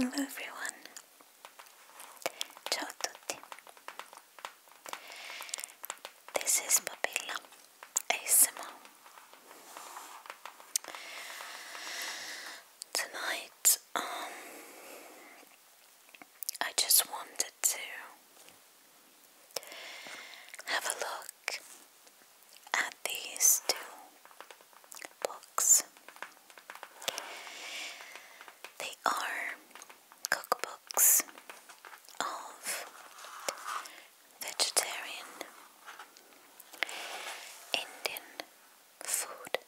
Hello everyone, ciao tutti, this is Papilla ASMR. Tonight um, I just wanted to have a look at these two books. They are cookbooks of vegetarian Indian food.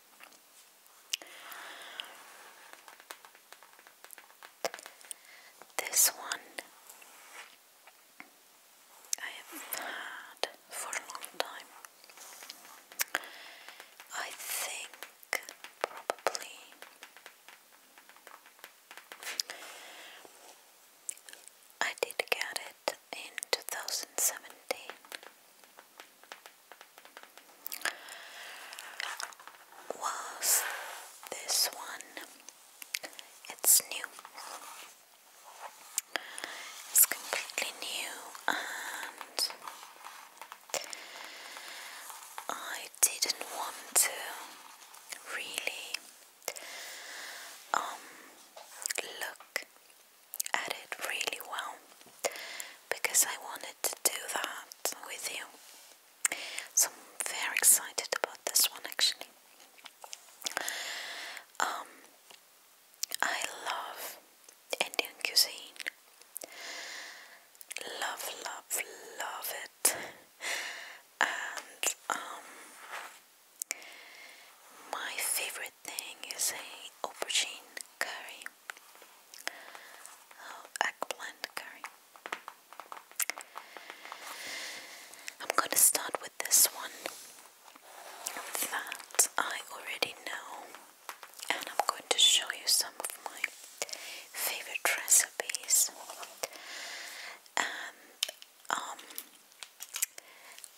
This one I have had for a long time. I think probably I did get it in 2017 was this one. It's new. It's completely new and I didn't want to really um, look at it really well because I wanted to do that with you. So I'm very excited about this one actually. Um, I love Indian cuisine. Love, love, love it. And um, my favorite thing is a aubergine curry. Oh, eggplant curry. I'm going to start with this one that I already know, and I'm going to show you some of my favorite recipes. And um,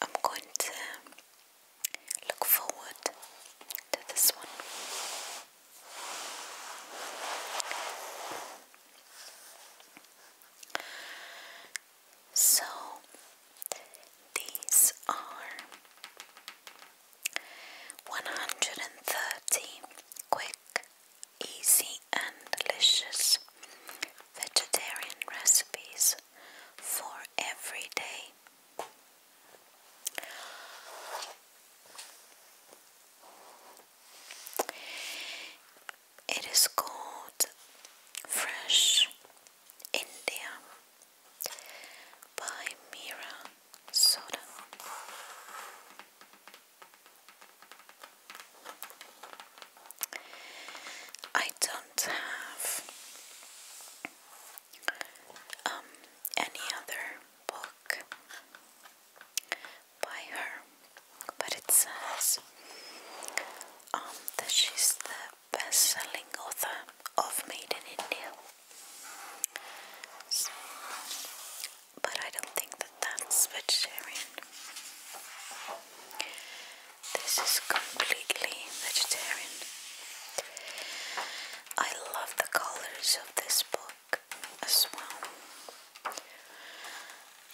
I'm going to look forward to this one. So, these are 130 quick, easy, and delicious vegetarian recipes for every day. It is called Fresh India by Mira Soda. I don't have um, any other book by her, but it says um, that she's the best-selling author of Made in India. but I don't think that that's vegetarian. This is completely vegetarian. I love the colors of this book as well.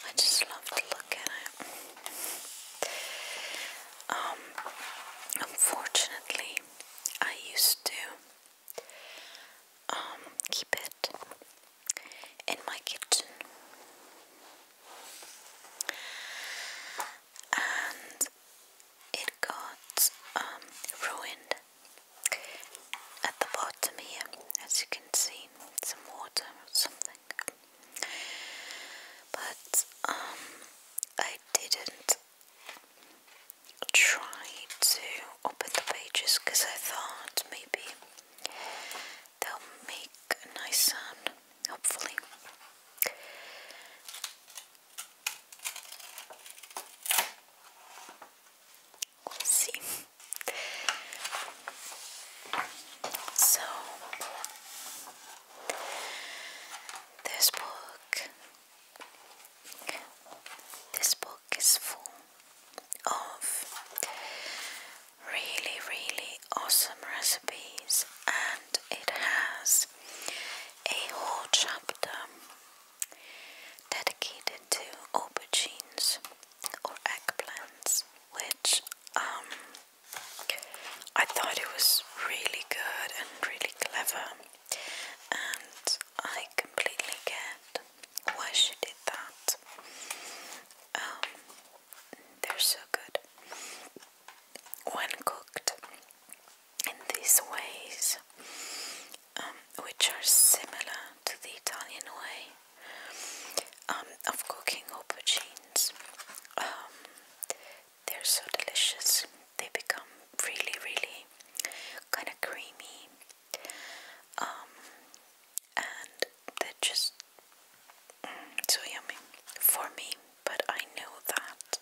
I just love to look at it. Um, unfortunately, I used to um, keep it in my kitchen. And it got um, ruined at the bottom here, as you can see, some water or something. But um, I didn't try to open the pages because I thought maybe they'll make a nice sound, hopefully. We'll see. So, this book, this book is full of really, really awesome recipes, and it has a whole chapter dedicated to aubergines or eggplants, which um, I thought it was really good and really clever, and I completely get why she did that. Um, they're so good when cooked in these ways, um, which are similar to the Italian way um, of cooking aubergines. Um, they're so delicious, they become really, really kind of creamy, and they're just mm, so yummy for me. But I know that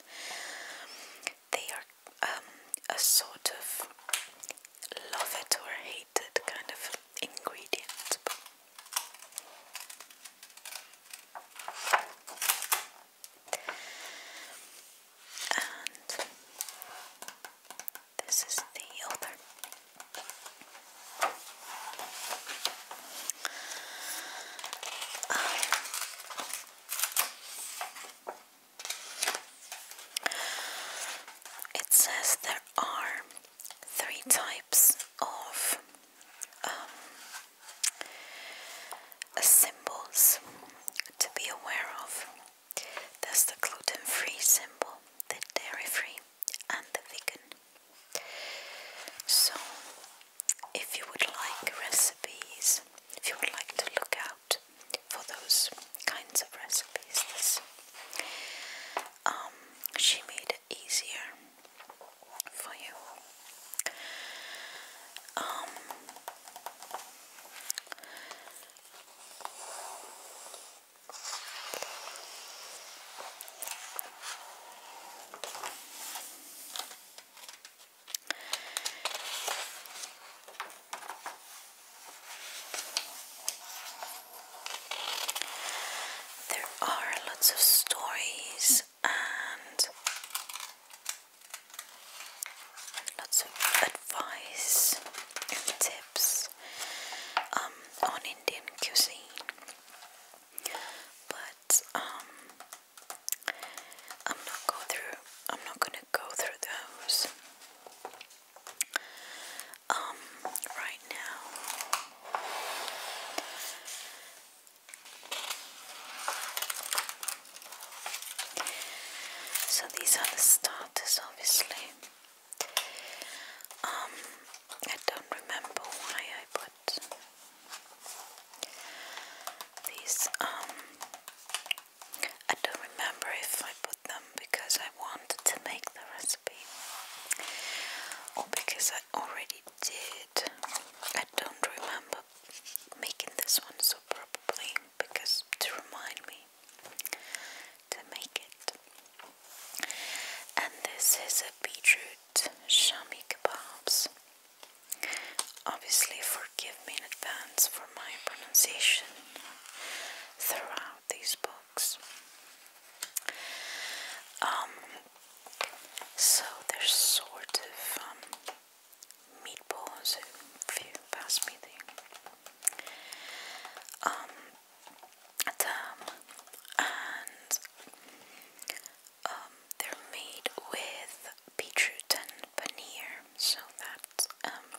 they are um, a sort of love it or hate it kind of ingredient. And this is the author. Um, it says there are three types of um, symbols to be aware of. There's the gluten free symbol, the dairy free, and the vegan. So, if you would like recipes, if you would like to look out for those kinds of recipes. This um, she made it easier for you. Um, there are lots of stories and lots of advice and tips um, on Indian cuisine, but um, I'm not go through. I'm not going go through those um, right now. So these are the starters obviously. Um, I don't remember why I put these um, I don't remember if I put them because I wanted to make the recipe or because I already did. I don't remember making this one, so probably because to remind me to make it. And this is a beetroot shami kebabs. Obviously, forgive me in advance for my pronunciation throughout these books. Um, so there's sort of um, meatballs if you pass me the um, and um, they're made with beetroot paneer so that's um,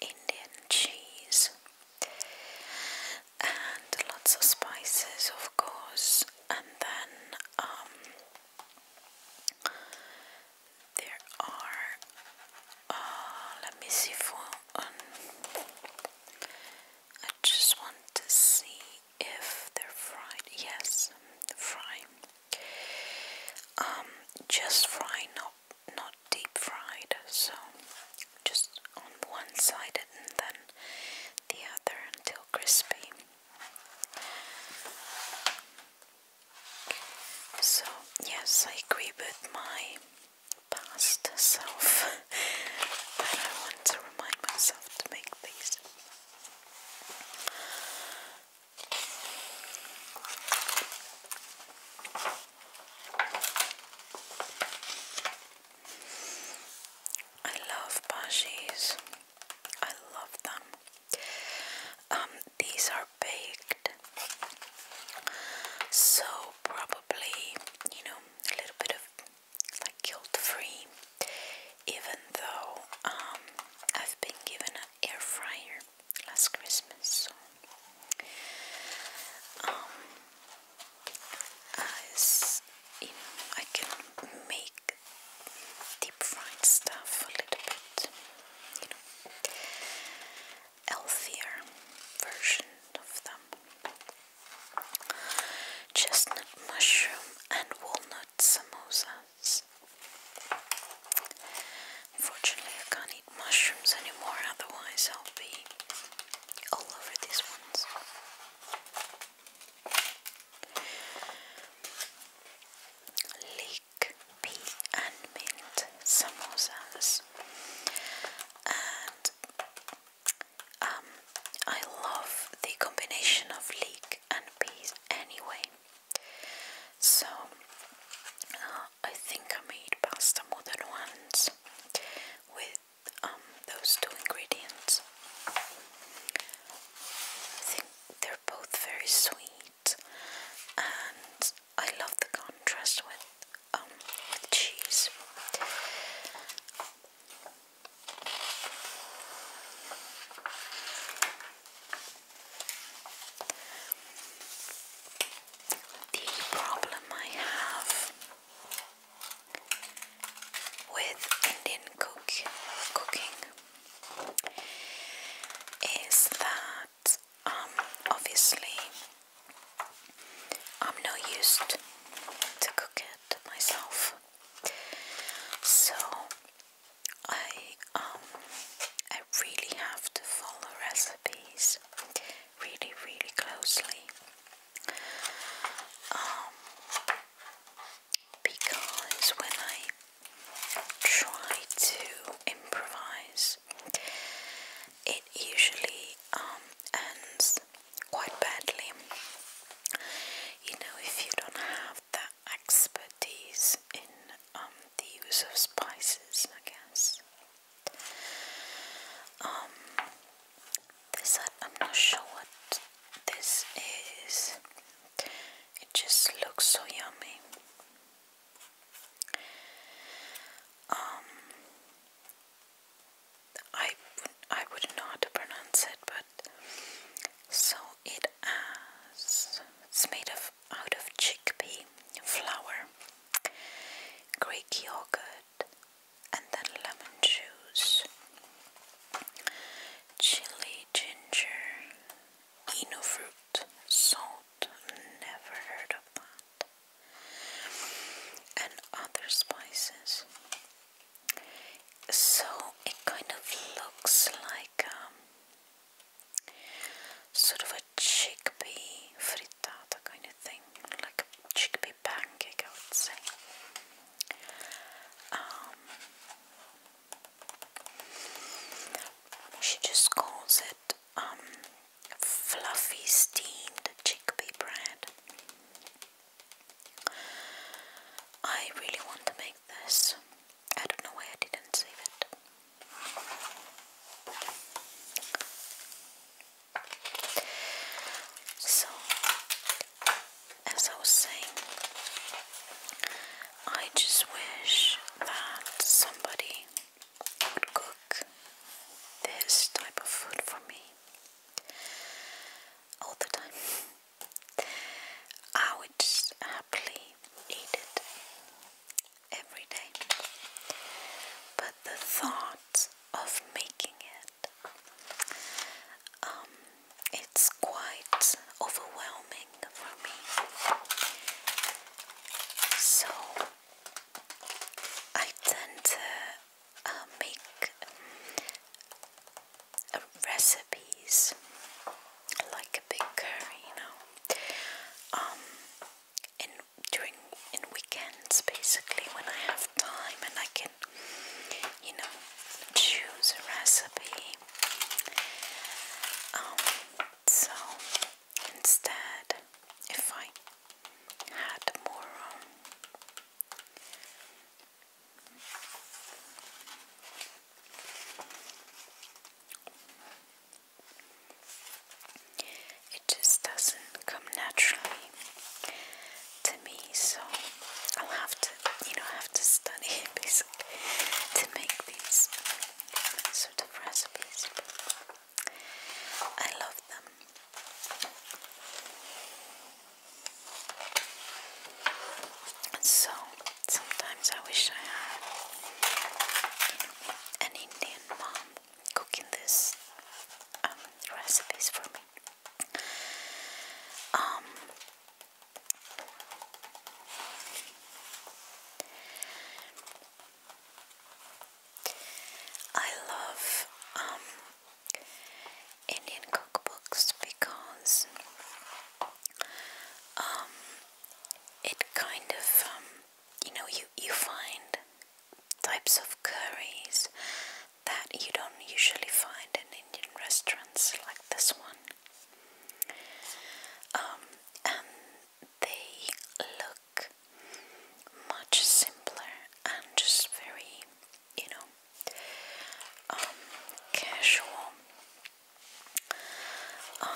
Indian cheese and lots of spices, of course. And then um, there are. Uh, let me see for. Um, I just want to see if they're fried. Yes, fry. Um, just fry, not not deep fried. So just on one side and then the other until crispy. So yes, I agree with my past self, but I want to remind myself to make these. I love pashis. I love them. Um, these are baked, so probably you know a little bit of like guilt free. Even though um, I've been given air fryer last Christmas. So, as um, you know, I can make deep fried stuff a little bit, healthier version of them. Chestnut mushroom and walnut samosas mushrooms. I can't eat mushrooms anymore, otherwise, I'll be all over these ones. Leek, pea, and mint samosas, and um, I love the combination of leek and peas anyway. So uh, I think I made pasta more than once with um, those two ingredients. I think they're both very sweet, and I love the contrast with um, with cheese. The problem I have with Indian cook cooking is that um, obviously I'm not used to cook it myself. So I um I really have to follow recipes really really closely um because when I try to improvise it usually um ends quite badly. You know, if you don't have that expertise in um, the use of spices, I guess. Um, this I'm not sure what this is. It just looks so yummy. Um, I I wouldn't pronounce it, but so it has. It's made of out of chickpea flour, Greek yogurt, and then lemon juice, chili, ginger, eno fruit, salt, never heard of that, and other spices. So it kind of looks like um, sort of a chickpea frittata kind of thing, like a chickpea pancake, I would say. Um, she just calls it um, fluffy steamed chickpea bread. I really want to make this. I don't know why I didn't save it. So, as I was saying, I just wish that somebody would cook this type of food for me all the time. I would happily eat it every day. But the thought of making it, um, it's quite overwhelming for me. So I tend to uh, make um, recipes like a big curry, you know. Um, in during in weekends, basically, when I have time and I can, you know, choose a recipe. Um, so instead, if I had more um, it just doesn't come naturally to me, so I'll have to, you know, have to study it basically to make these sort of recipes. I love them. So Sometimes I wish I had an Indian mom cooking these um, recipes for me. Um, I love um, Indian cookbooks because um, it kind of, um, you know, you, you find types of curries that you don't usually find in Indian restaurants like this one. Um, and they look much simpler and just very, you know, um, casual. Um,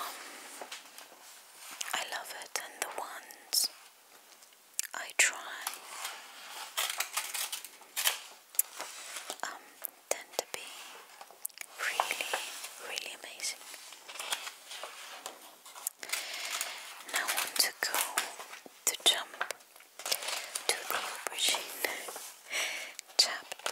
I love it, and the ones I try um, tend to be really, really amazing. Now I want to go to jump to the aubergine chapter.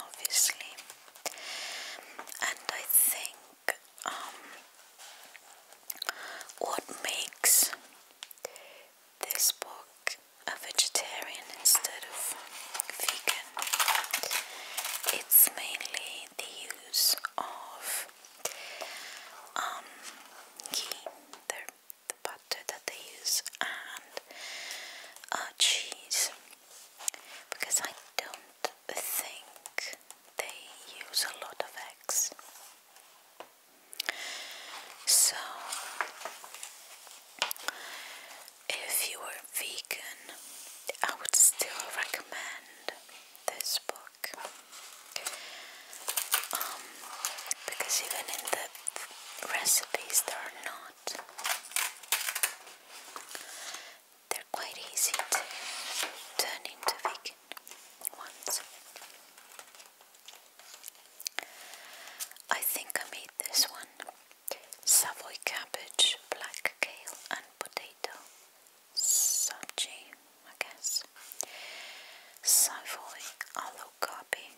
obviously. And I think um, what makes this book a vegetarian instead of vegan, it's mainly the use of um, ghee, the, butter that they use, and uh, cheese. Because I don't think they use a lot of eggs. So, if you are vegan, I would still recommend this book um, because even in the recipes, there are not they're quite easy to turn into vegan ones. I think I made this one. Savoy cabbage, black kale and potato. Sabji, I guess. Savoy aloo gobi.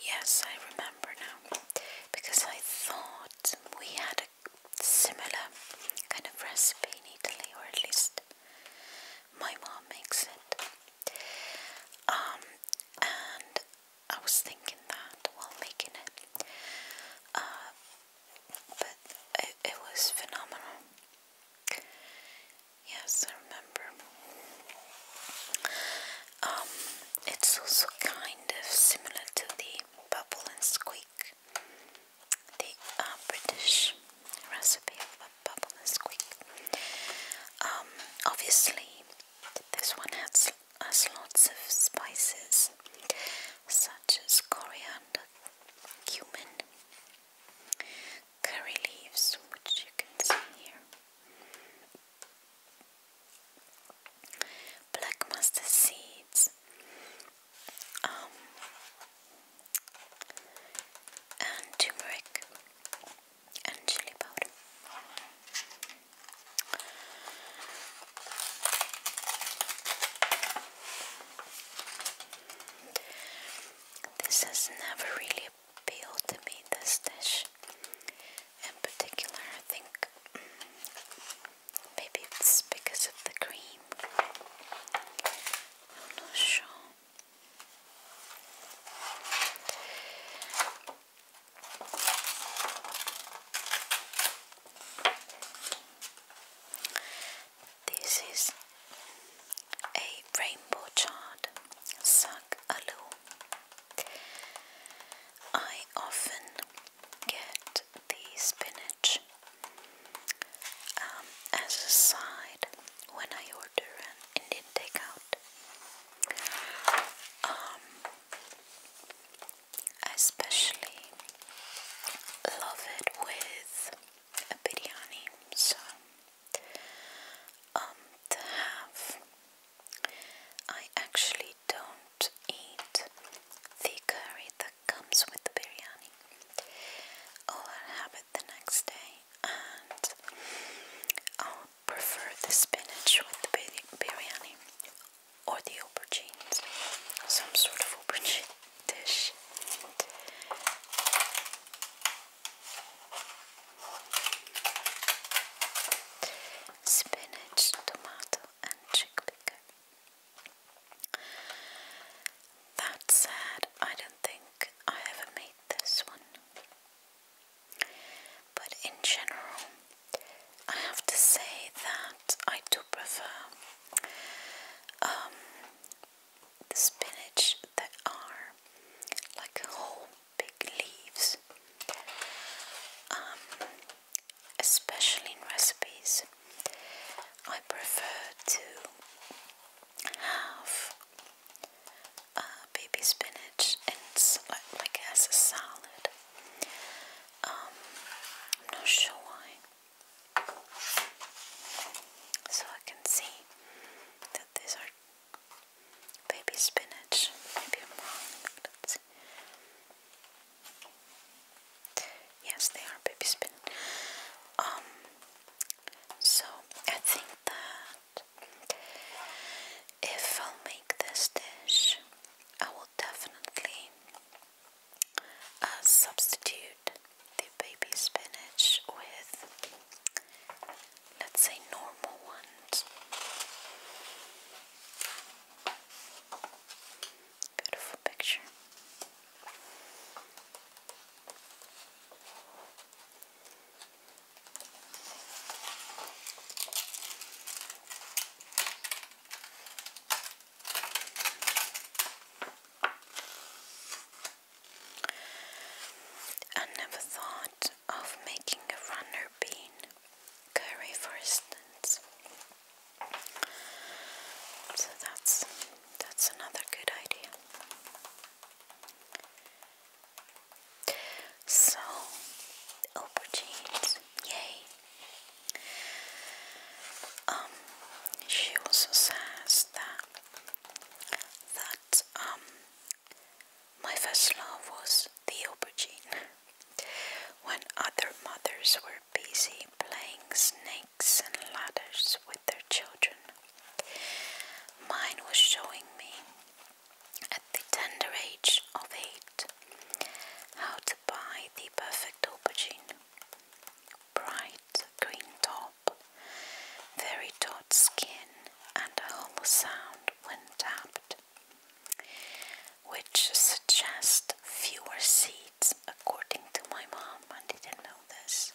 Yes, I remember now because I thought we had a similar kind of recipe in Italy, or at least my mom makes it. Um, and I was thinking that while making it, uh, but it, was phenomenal. Yes, I remember. Um, it's also kind of similar to the bubble and squeak. The uh, British recipe of bubble and squeak. Um, obviously, this one has, has lots of spices such as coriander, cumin, curry leaves, which you can see here black mustard seeds, um, and turmeric and chili powder. This has never really appealed to me, this dish. In particular, I think Maybe it's because of the cream. I'm not sure. This is a rainbow chart suck aloo. I often get the spinach um, as a side when I order an Indian takeout. Um, I especially love it with a biryani, so um, to have I actually don't eat the curry that comes with the biryani. Or I'll have it the next day and I'll prefer the spinach with the biryani or the aubergines, some sort of aubergine dish. Spinach, tomato, and chickpea that said, I don't think I ever made this one. But in general, I have to say that I do prefer um, the spinach that are like whole big leaves. Um, especially in recipes. I prefer to have uh, baby spinach and like as a salad. Um, I'm not sure why. So I can see that these are baby spinach. Maybe I'm wrong. Let's see. Yes, they are baby spin. Um, so I think that if i make this dish, I will definitely uh, substitute the baby spinach with, let's say, normal ones. Beautiful picture. I never thought of making a runner bean curry for instance. So that's that's another good idea. So aubergines, yay. Um she also says that that um my first love was the aubergine when other mothers were busy playing snakes and ladders with their children. Mine was showing me, at the tender age of eight, how to buy the perfect aubergine. Bright green top, very taut skin, and a hollow sound when tapped which suggests fewer seeds, according to my mom. I didn't know this,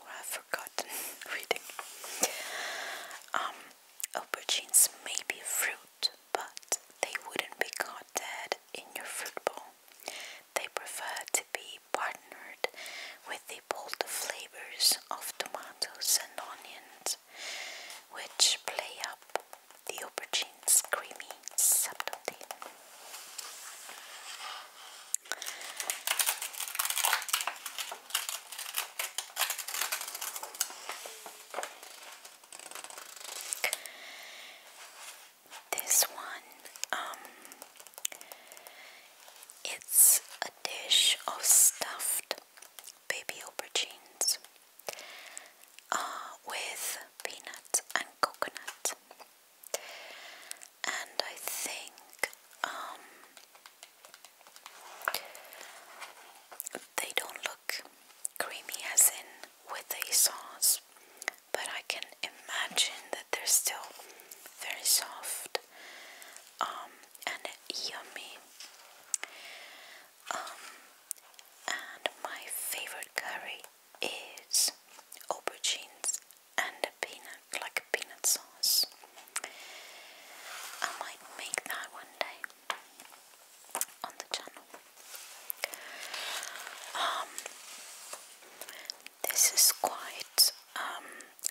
or I've forgotten reading. Um, aubergines may be a fruit, but they wouldn't be caught dead in your fruit bowl. They prefer to be partnered with the bold flavors of tomatoes and onions, which play up the aubergine's creamy subtlety. This one, um, it's a dish of stuffed baby aubergines uh, with peanut and coconut. And I think um, they don't look creamy as in with a sauce, but I can imagine that they're still very soft um, and yummy. Um, and my favorite curry is aubergines and a peanut, like peanut sauce. I might make that one day on the channel. Um, this is quite um,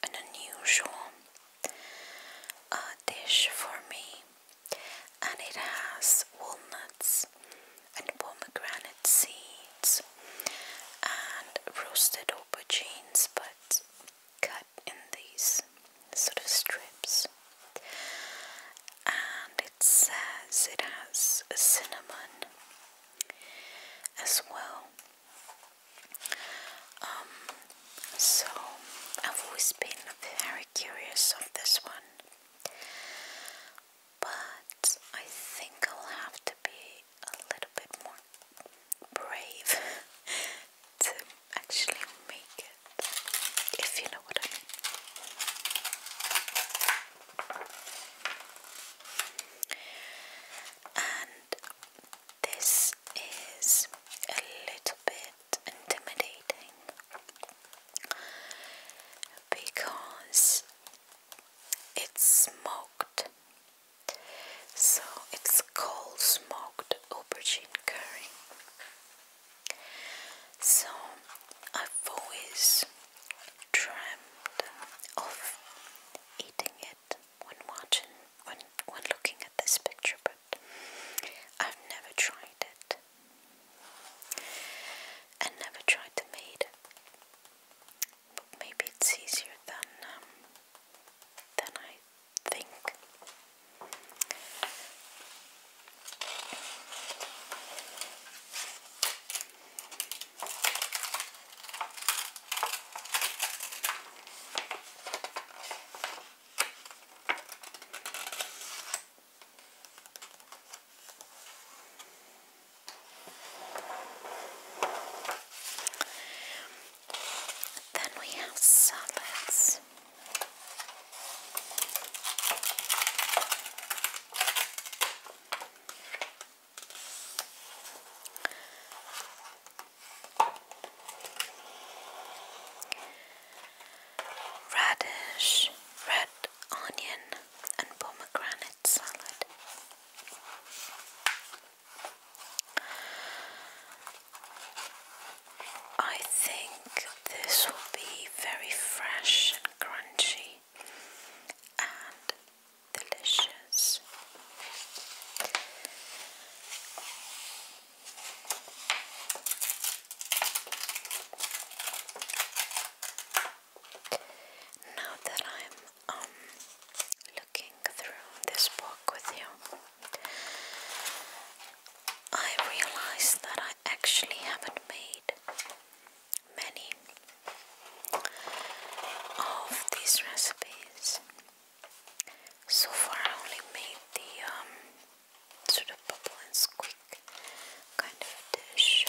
an unusual uh, dish for me and it has walnuts and pomegranate seeds and roasted aubergines but cut in these sort of strips and it says it has cinnamon as well um, so I've always been very curious of this one but I think I'll have to be a little bit more brave to actually make it, if you know what I mean. And this is a little bit intimidating because it's smoked. So it's cold smoked aubergine curry. So I've always dreamed of eating it when watching when when looking at this picture but I've never tried it. I never tried to meet. But maybe it's easier than um, than I think. Then we have salads. Radish, red onion and pomegranate salad. I think this will be very fresh and crunchy and delicious. Now that I'm um, looking through this book with you, I realize that I actually haven't made many of these recipes. So far, I only made the um, sort of bubble and squeak kind of dish.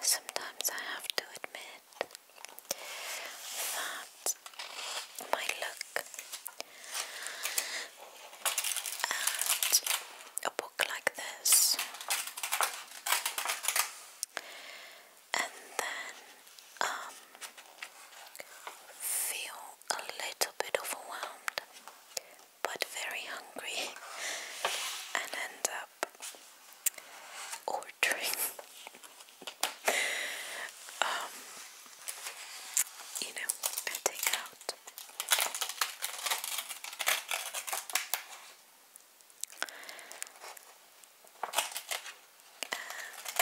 Sometimes I have to admit that my look and a book like this, and then um, feel a little bit overwhelmed but very hungry, and end up ordering. Um, you know, I take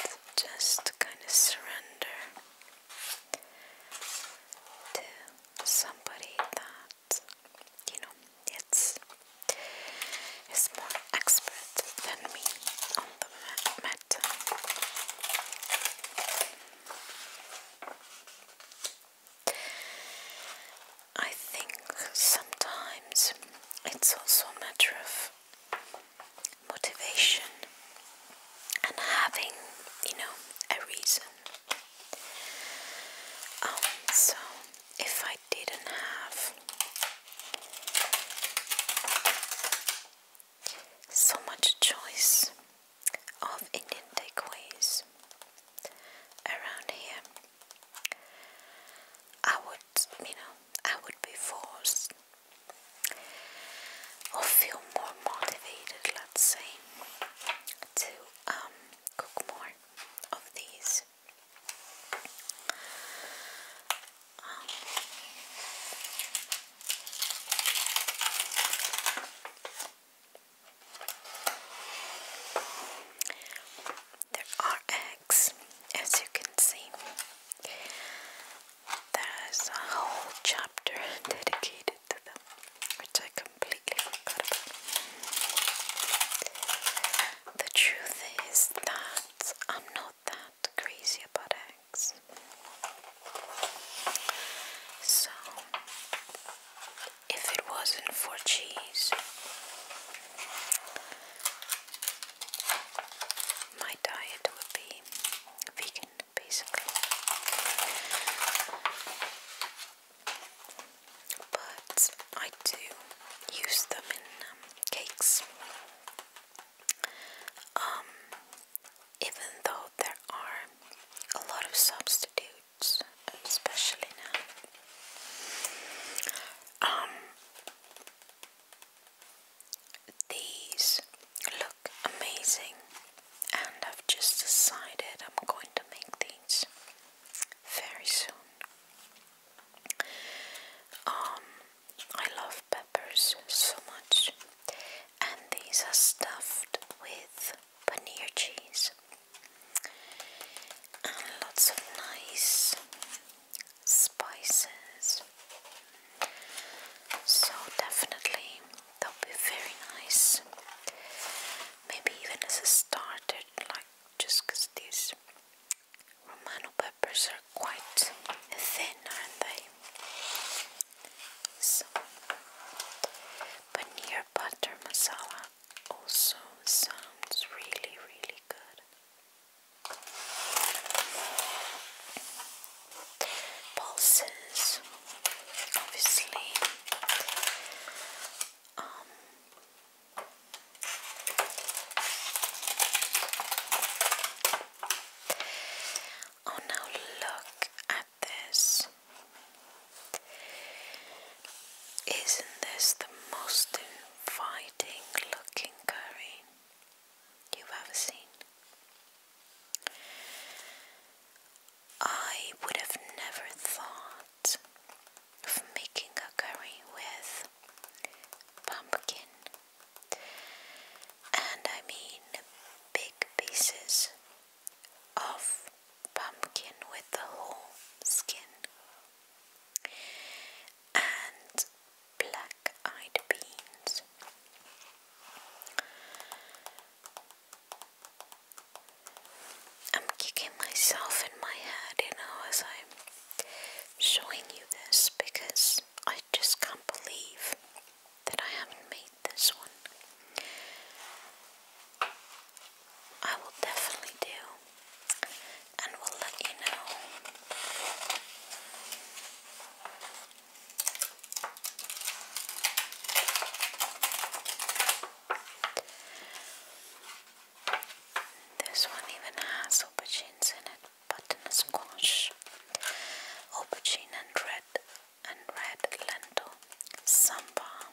and just kind of surrender to somebody that you know it's is more expert than me on the matter. I think sometimes it's also a matter of motivation and having, you know, a reason. Um, so if I didn't have so much choice of Indian takeaways around here, I would, you know, I would be forced or feel more motivated, let's say, to um, cook more of these. Um, there are eggs, as you can see. There's a whole chapter dedicated to them, which I completely forgot about. The truth is that I'm not that crazy about eggs. So if it wasn't for cheese. My diet would be vegan, basically. But I do use them in um, cakes. Um, even though there are a lot of substitutes especially now. Um, these look amazing, and I've just decided I'm going to make these very soon. Um, I love peppers so much, and these are stuffed with paneer cheese and lots of nice spices. So, definitely, they will be very nice. Maybe even as a starter, like just because these Romano peppers are quite thin, aren't they? So, paneer butter masala also sounds really, really good. Pulses, obviously. Um, oh, now look this. Isn't this the most inviting looking curry you've ever seen? I would have never thought of making a curry with pumpkin, and I mean big pieces of pumpkin with the whole skin and black eyed beans. I'm kicking myself in my head, you know, as I'm showing you this because I just can't believe that I haven't made this one. I will definitely do and will let you know. This one even has aubergines in it, but in a squash. Aubergine and red and red lentil, sambar,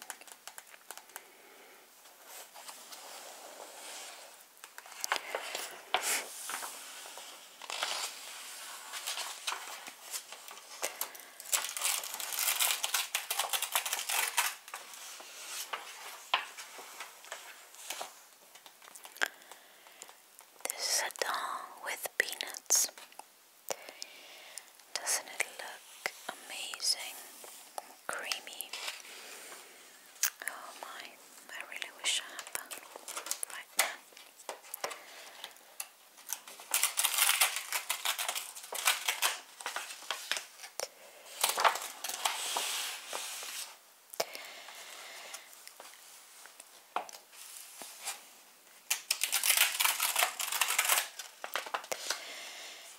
this is a doll with peanuts. Doesn't it look amazing? Creamy. Oh my, I really wish I had that right now.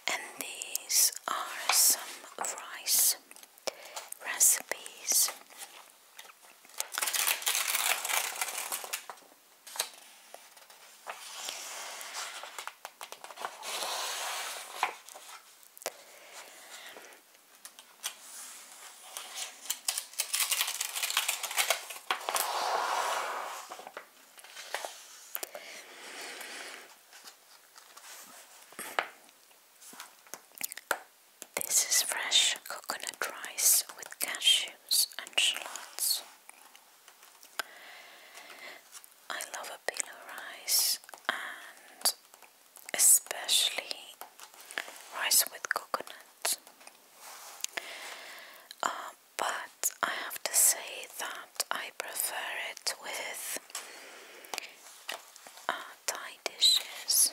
And these are some rice recipes. This is fresh coconut rice with cashews and shallots. I love a pillow rice and especially rice with coconut. Um, but I have to say that I prefer it with uh, Thai dishes.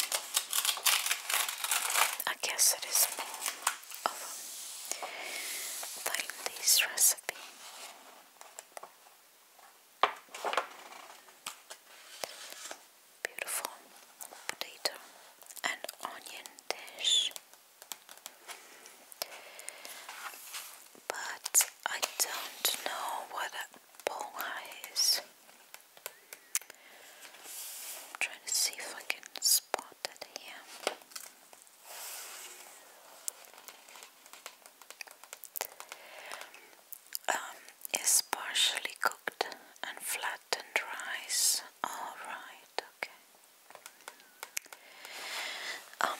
I guess it is more of a Thailandese recipe. Beautiful potato and onion dish. But I don't know what a polka is. trying to see if I can spot it here. Um, it's partially cooked and flattened rice. All right, okay. Um,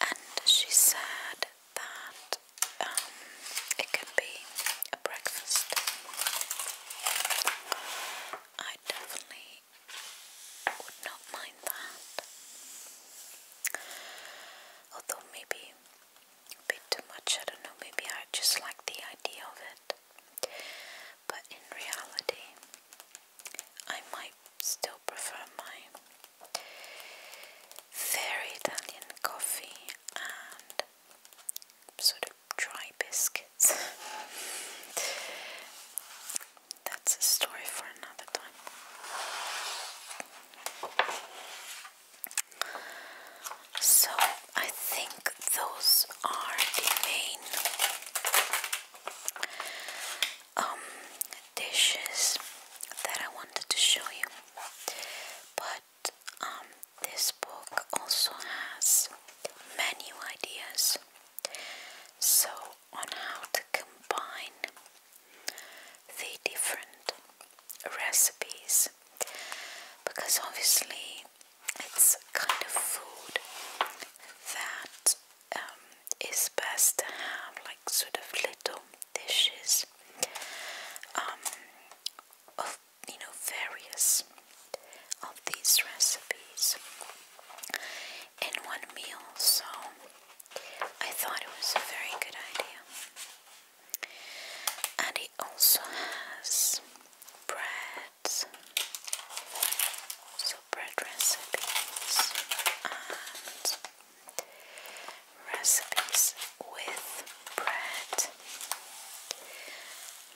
and she said that um, it can be a breakfast. I definitely would not mind that. Although maybe a bit too much, I don't know, maybe I just like the idea of it. But in reality, I might still prefer my very Italian coffee and sort of dry biscuits. That's a story for another time. So I think those are the main um, dishes that I wanted to show you but um, this book also has many ideas so on how to combine the different recipes because obviously it's kind of food that um, it's best to have like sort of little dishes um, of you know various of these recipes in one meal. So I thought it was a very good idea, and it also has bread. So bread recipes and recipes with bread,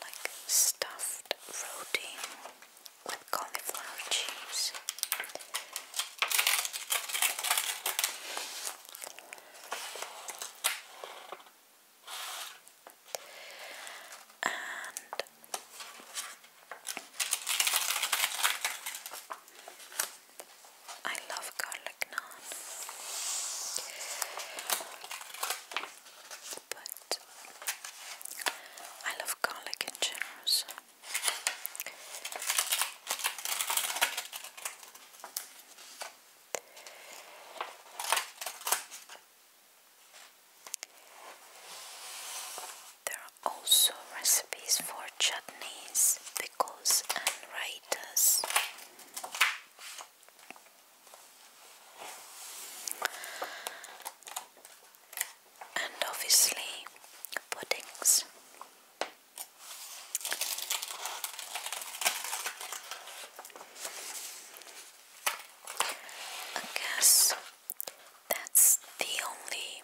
like stuffed roti with cauliflower cheese. And I love garlic naan, but I love garlic in general. There are also recipes for chutneys, pickles and raitas. And obviously puddings. I guess that's the only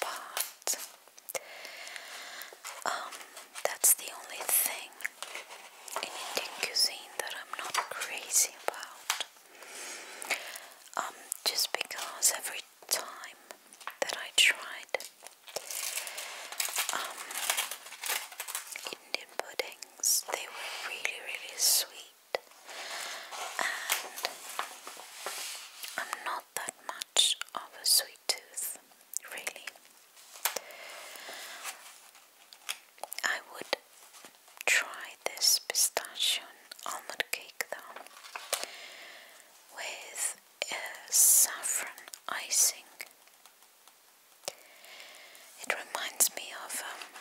part. Um, that's the only thing in Indian cuisine that I'm not crazy about. Um, just because every time that I tried um, Indian puddings, they were really, really sweet. I'm not that much of a sweet tooth, really. I would try this pistachio almond cake though with a saffron icing. It reminds me of um,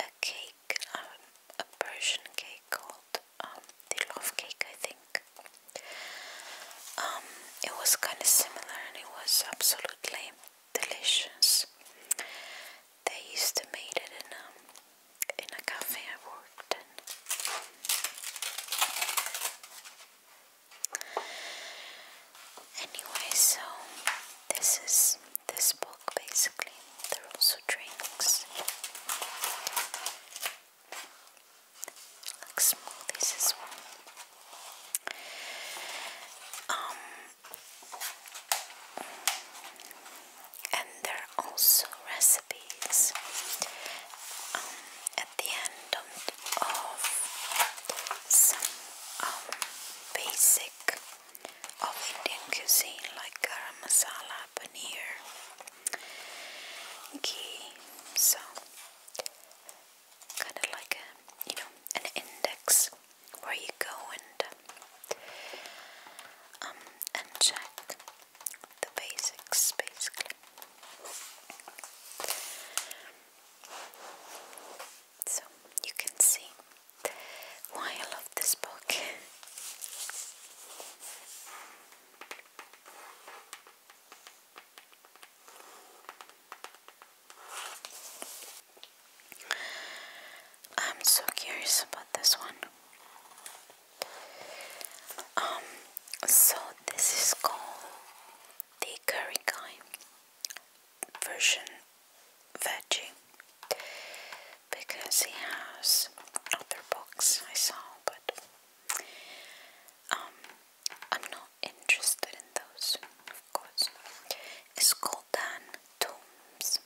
a cake um, a Persian cake called um, the love cake, I think. Um, it was kind of similar, and it was absolutely delicious. They used to make it in a in a cafe I worked in. Anyway, so this is this book basically. There are also drinks, like smoothies as well. Um, and there are also recipes um, at the end of, some um, basic of Indian cuisine like garam masala, paneer, ghee. So, kind of like a you know an index where you go and um and check the basics basically. So you can see why I love this book. I'm so curious about this one. Um, so this is called the curry guy version veggie because he has other books I saw, but um, I'm not interested in those, of course. It's called Dan Tombs.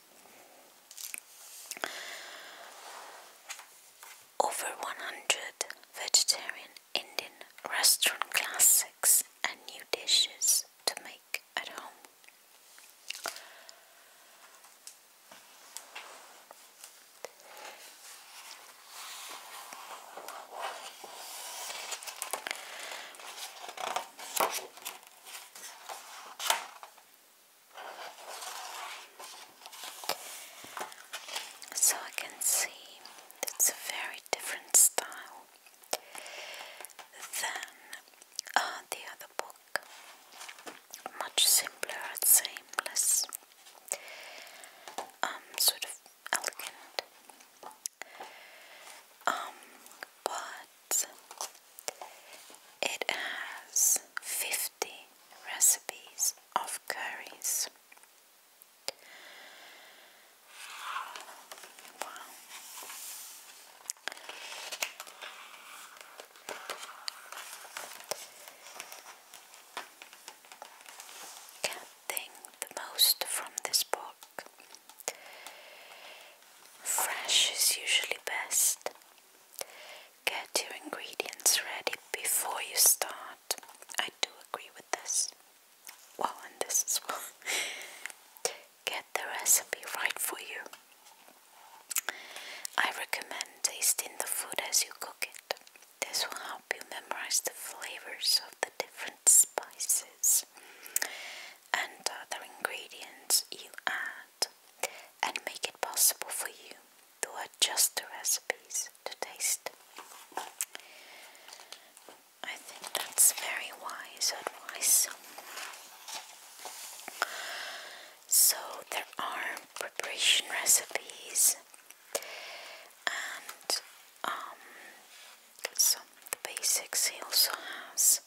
Over 100 vegetarian Indian restaurant classics and new dishes to make so I can see it's a very different style then uh, the other book, much simpler seamless, um, sort of elegant, um, but it has 50 recipes of curries. Wow. Getting the most from this book. Fresh is usually best. Get your ingredients ready before you start. I do agree with this. Well, and this as well. get the recipe right for you. I recommend tasting the food as you cook it. This will help you memorize the flavors of the different spices and other ingredients you add and make it possible for you to adjust the recipes to taste. I think that's very wise advice. So there are preparation recipes and um, some of the basics he also has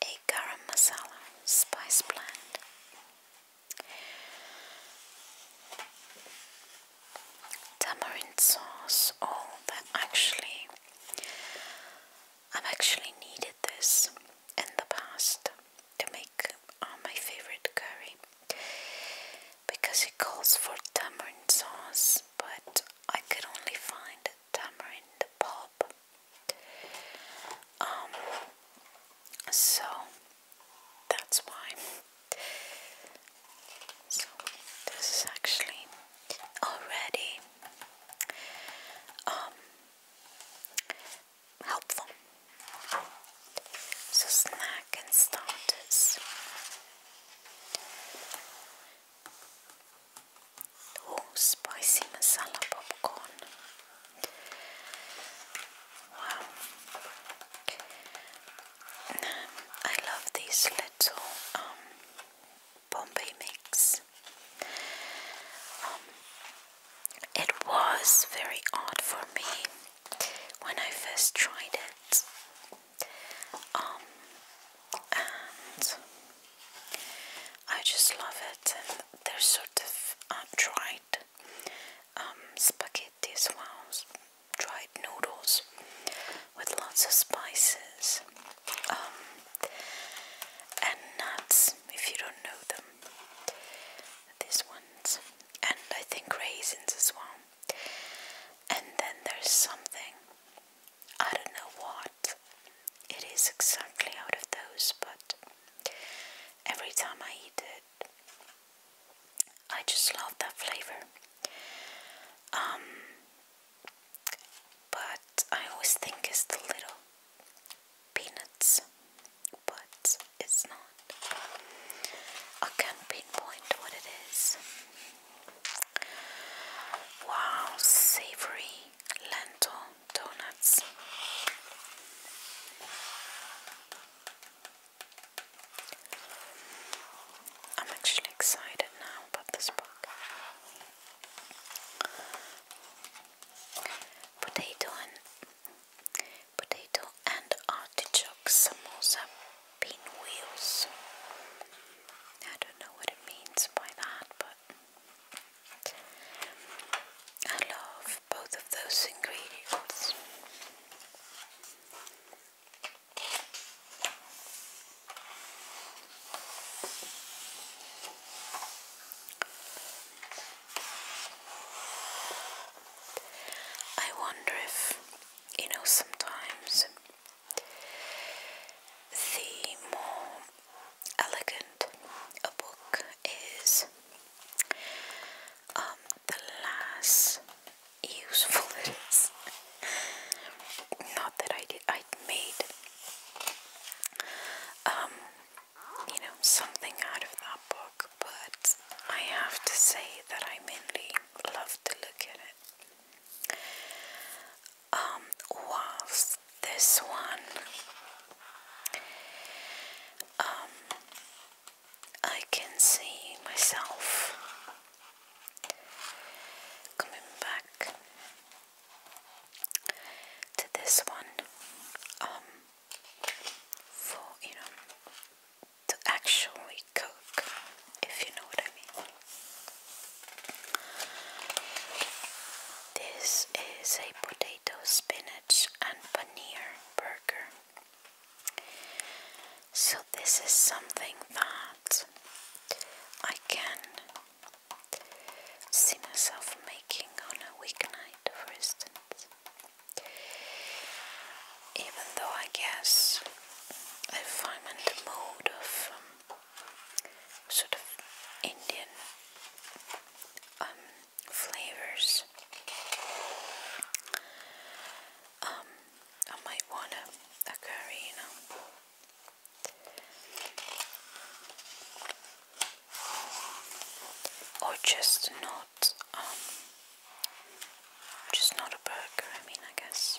a garam masala spice blend tamarind sauce all that actually I've actually needed this in the past to make uh, my favorite curry because it calls for tamarind sauce, but I could only find tamarind pulp. Um, so that's why. So this is actually already um, helpful. So snack starters. Oh, spicy Wow. Um, I love these little um, Bombay mix um, it was very odd for me when I first tried it. Um, and I just love it, and they're sort of uh, dried um, spaghetti as well, dried noodles with lots of spices. Um, and nuts if you don't know them. These ones, and I think raisins as well. And then there's something I don't know what it is exactly out of those, but every time I eat it, I just love that flavor. Um, but I always think it's the little peanuts, but it's not. I can't pinpoint what it is. Wow, savory lentil donuts. I'm actually excited now about this book. Potato and potato and artichoke samosa pinwheels. I don't know what it means by that, but I love both of those ingredients. I wonder if, you know, sometimes the more elegant a book is, um, the less useful it is. Not that I did, I made um, you know, something out of that book, but I have to say that I mainly love to look at it. Um, whilst this one, um, I can see myself coming back to this one um, for you know to actually cook if you know what I mean. This is a potato spinach and paneer burger. So this is something that I can see myself making on a weeknight, for instance. Even though I guess if I'm in the mood of um, sort of Indian um, flavors, um, I might want a, a curry, you know or just not um, just not a burger I mean I guess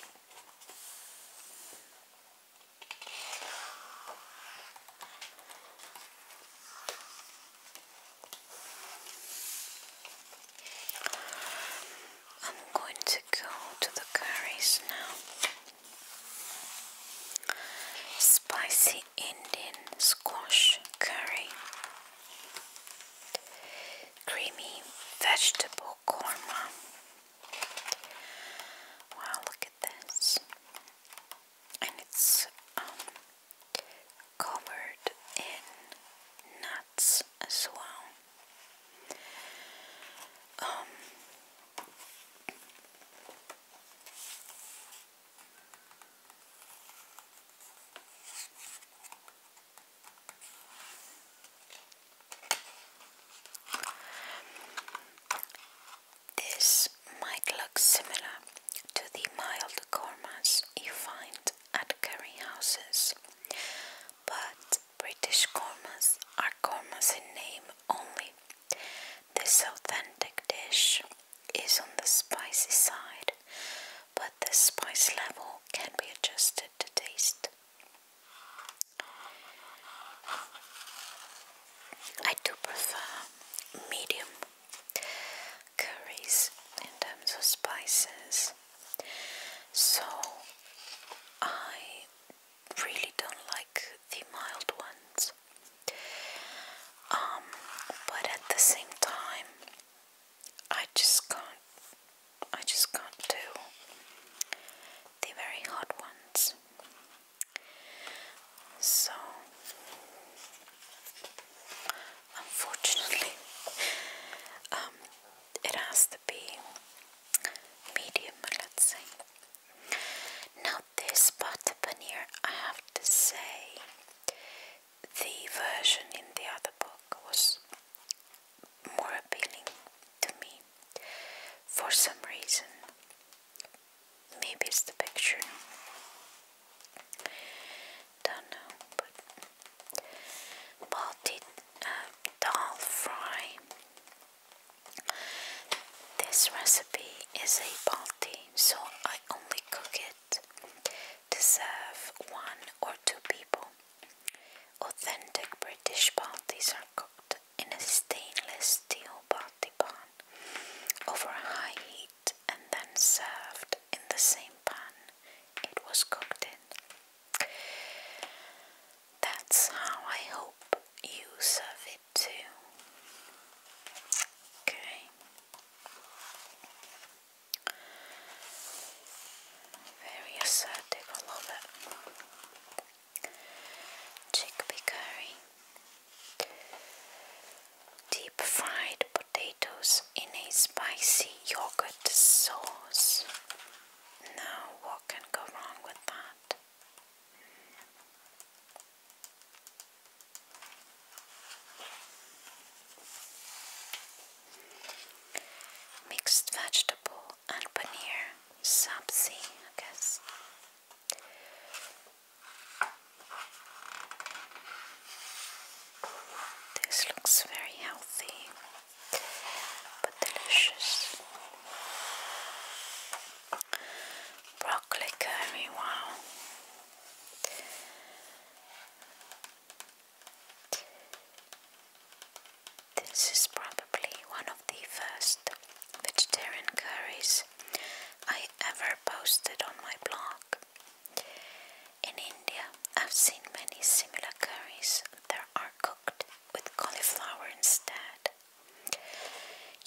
I'm going to go to the curries now Spicy Indian squash curry. Creamy vegetable korma. Wow, look at this. And it's um, covered in nuts as well. Um, this might look similar to the mild kormas you find at curry houses, but British kormas are kormas in name only. This authentic dish is on the spicy side, but the spice level can be adjusted to taste. I do prefer medium curries in terms of spices, so I really don't like the mild ones. Um, but at the same time, I just can't. I just can't do the very hot ones. So, unfortunately, um, it has to be medium, let's say. Now, this part paneer, I have to say, the version in the other book was more appealing to me for some reason. Maybe it's the picture. Don't know, but malted uh, dal fry this recipe is a balti, so I only cook it to serve one or two people. Authentic British baltis are cooked in a stainless steel balti pan over high heat and then served in the same pan it was cooked in. That's how I hope you serve it two. Okay. Very assertive, I Chickpea curry. Deep fried potatoes in a spicy yogurt sauce. Now, what can go wrong with that? Mixed vegetable and paneer, sabzi, I guess. This looks very healthy but delicious broccoli curry, wow. This is probably one of the first vegetarian curries I ever posted on my blog. In India, I've seen many similar curries that are cooked with cauliflower instead.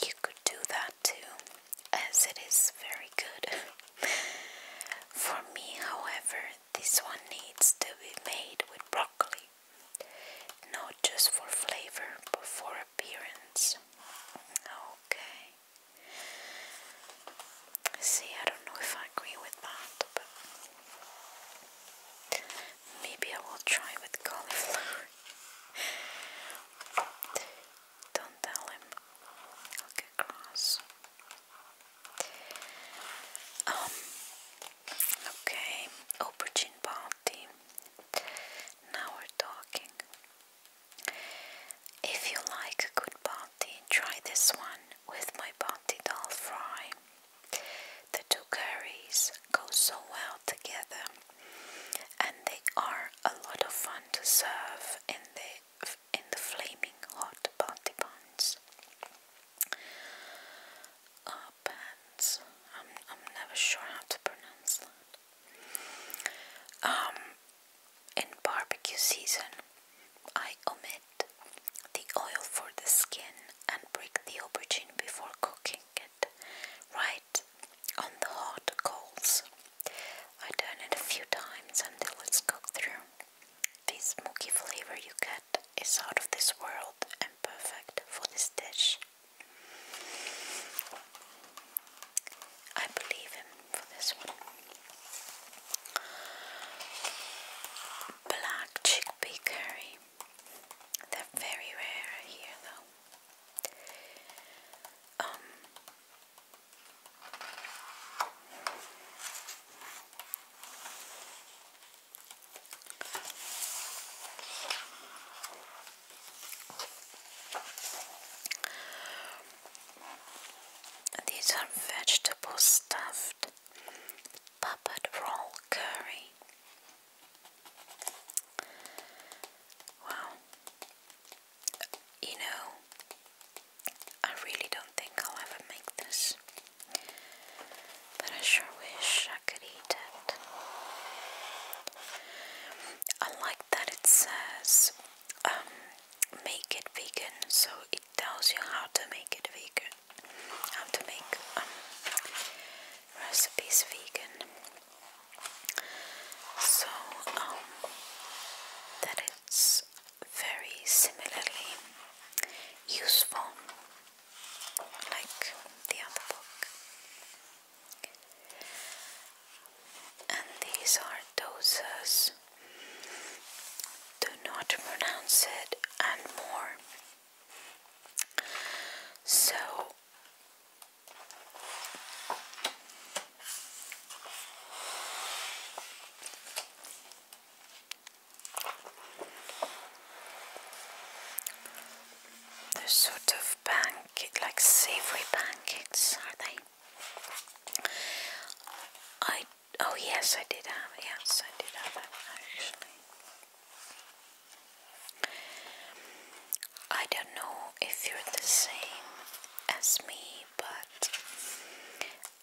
You could do that too, as it is very good. For me, however, this one needs to be made with broccoli, not just for flavor but for appearance. Okay. See, I don't know if I agree with that, but maybe I will try with cauliflower. Don't tell him. I'll get cross. Um, okay. Aubergine Now we're talking. If you like a good party, try this one with my party dal fry. The two curries go so well together and they are a lot of fun to serve in the in the flaming hot party buns. Uh, I'm I'm never sure how to pronounce that. Um, in barbecue season, I omit the oil for the skin and break the aubergine before cooking bring right on the hot coals. I turn it a few times until it's cooked through. The smoky flavor you get is out of this world and perfect for this dish. I believe him this one. Black chickpea curry. They're very rare here though. Um, these are vegetable stuffed puppet roll curry. Wow. You know, I really don't think I'll ever make this, but I sure wish I could eat it. I like that it says um, make it vegan, so it tells you how to make it vegan, how to make um, recipes vegan. So um, that it's very similarly useful like the other book. And these are doses. Do not pronounce it and more. So they're sort of pancake, like savory pancakes, are they? I oh yes, I did have yes, I did have that actually. I don't know if you're the same as me, but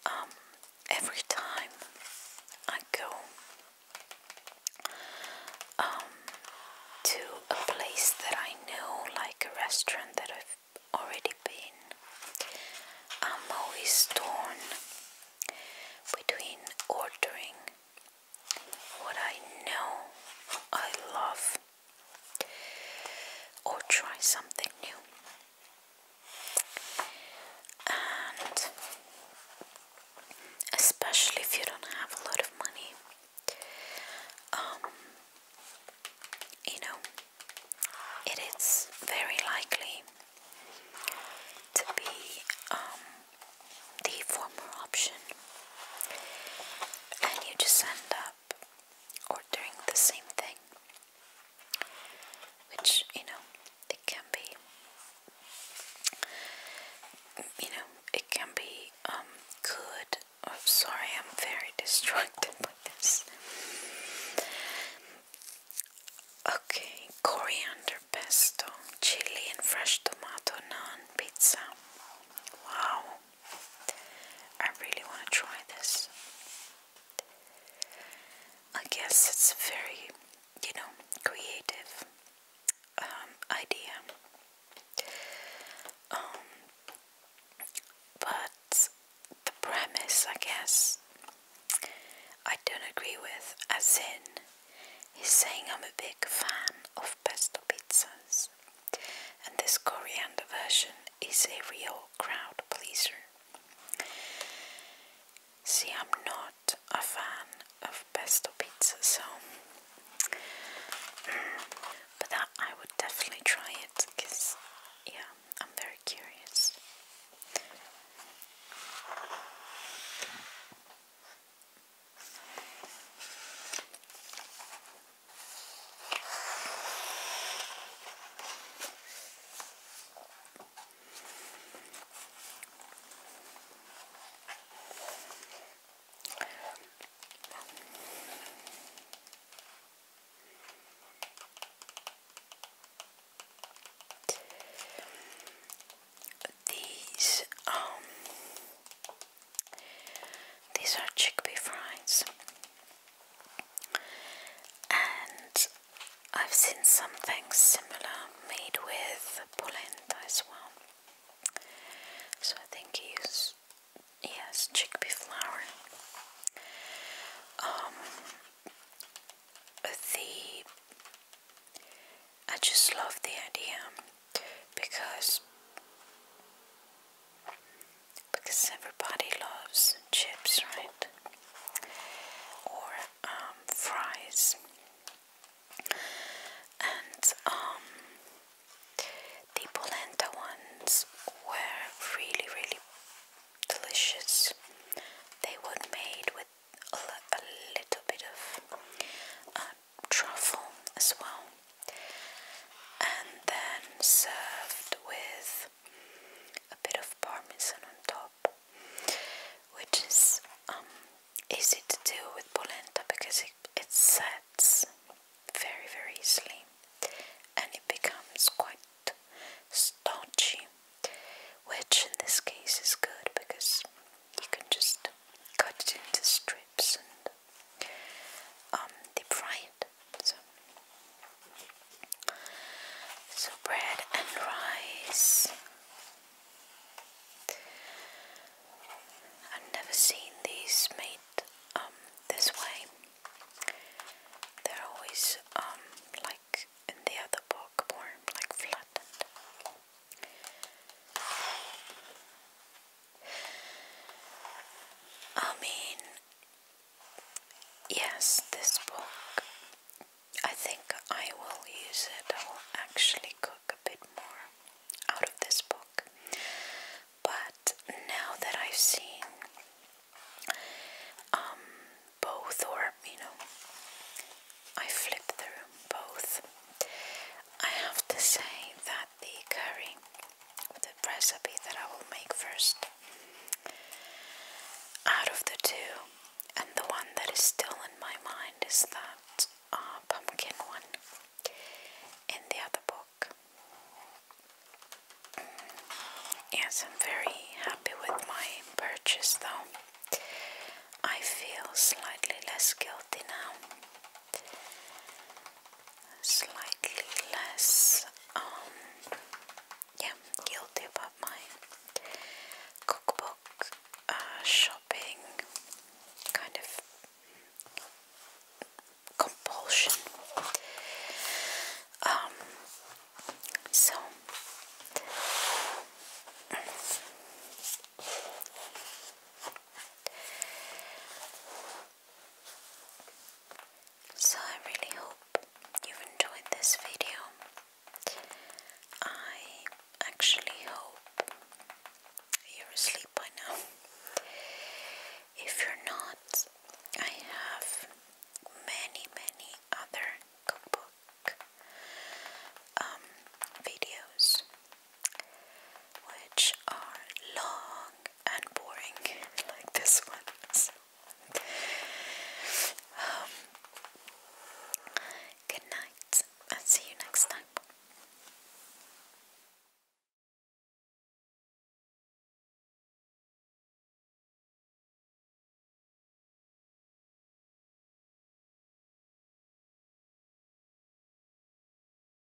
um, every time I go um, to a place that I know, like a restaurant that I've already been, I'm always torn between ordering what I know I love, or try something new. And especially if you don't have a lot of money, um, you know, it is very likely to be um, the former option and you just end up ordering the same thing, which you know it can be. You know, it can be um, good. I'm oh, sorry, I'm very distracted by this. Okay, coriander pesto, chili and fresh tomato naan pizza. Wow, I really want to try this. I guess it's a very, you know, creative um, idea. Um, but the premise, I guess, I don't agree with. As in, he's saying I'm a big fan of pesto pizzas. And this coriander version is a real crowd pleaser. See, I'm not a fan of pesto pizza, so. But I would definitely try it because, yeah, I'm very curious. These um these are chickpea fries, and I've seen something similar made with polenta as well. So I think he used yes chickpea flour. Um, the I just love the idea because because everybody loves chips, right? Or um, fries, and um, the polenta ones were really, really delicious. They were made with a, little bit of um, truffle as well, and then served with a bit of parmesan on top, which is um, easy to do with polenta because it, it sets very, very easily and it becomes quite staunchy, which in this case is good because you can just cut it into strips and um, deep fried. So, bread and rice. I've never seen these made um, this way. They're always um, like in the other book, more like flattened. I mean, yes, this book, I think I will use it. I will actually cook a bit more out of this book. But now that I've seen um, both, or you know, I flipped through both, I have to say that the curry the recipe that I will make first out of the two and the one that is still in my mind is that uh, pumpkin one in the other book yes I'm very happy with my purchase though I feel slightly less guilty now slightly less um, yeah guilty about my cookbook uh, shopping kind of compulsion um, so so I really hope you've enjoyed this video. I actually hope you're asleep by now. If you're not, I have many, many other cookbook um, videos which are long and boring, like this one. Um, good night, and see you next time.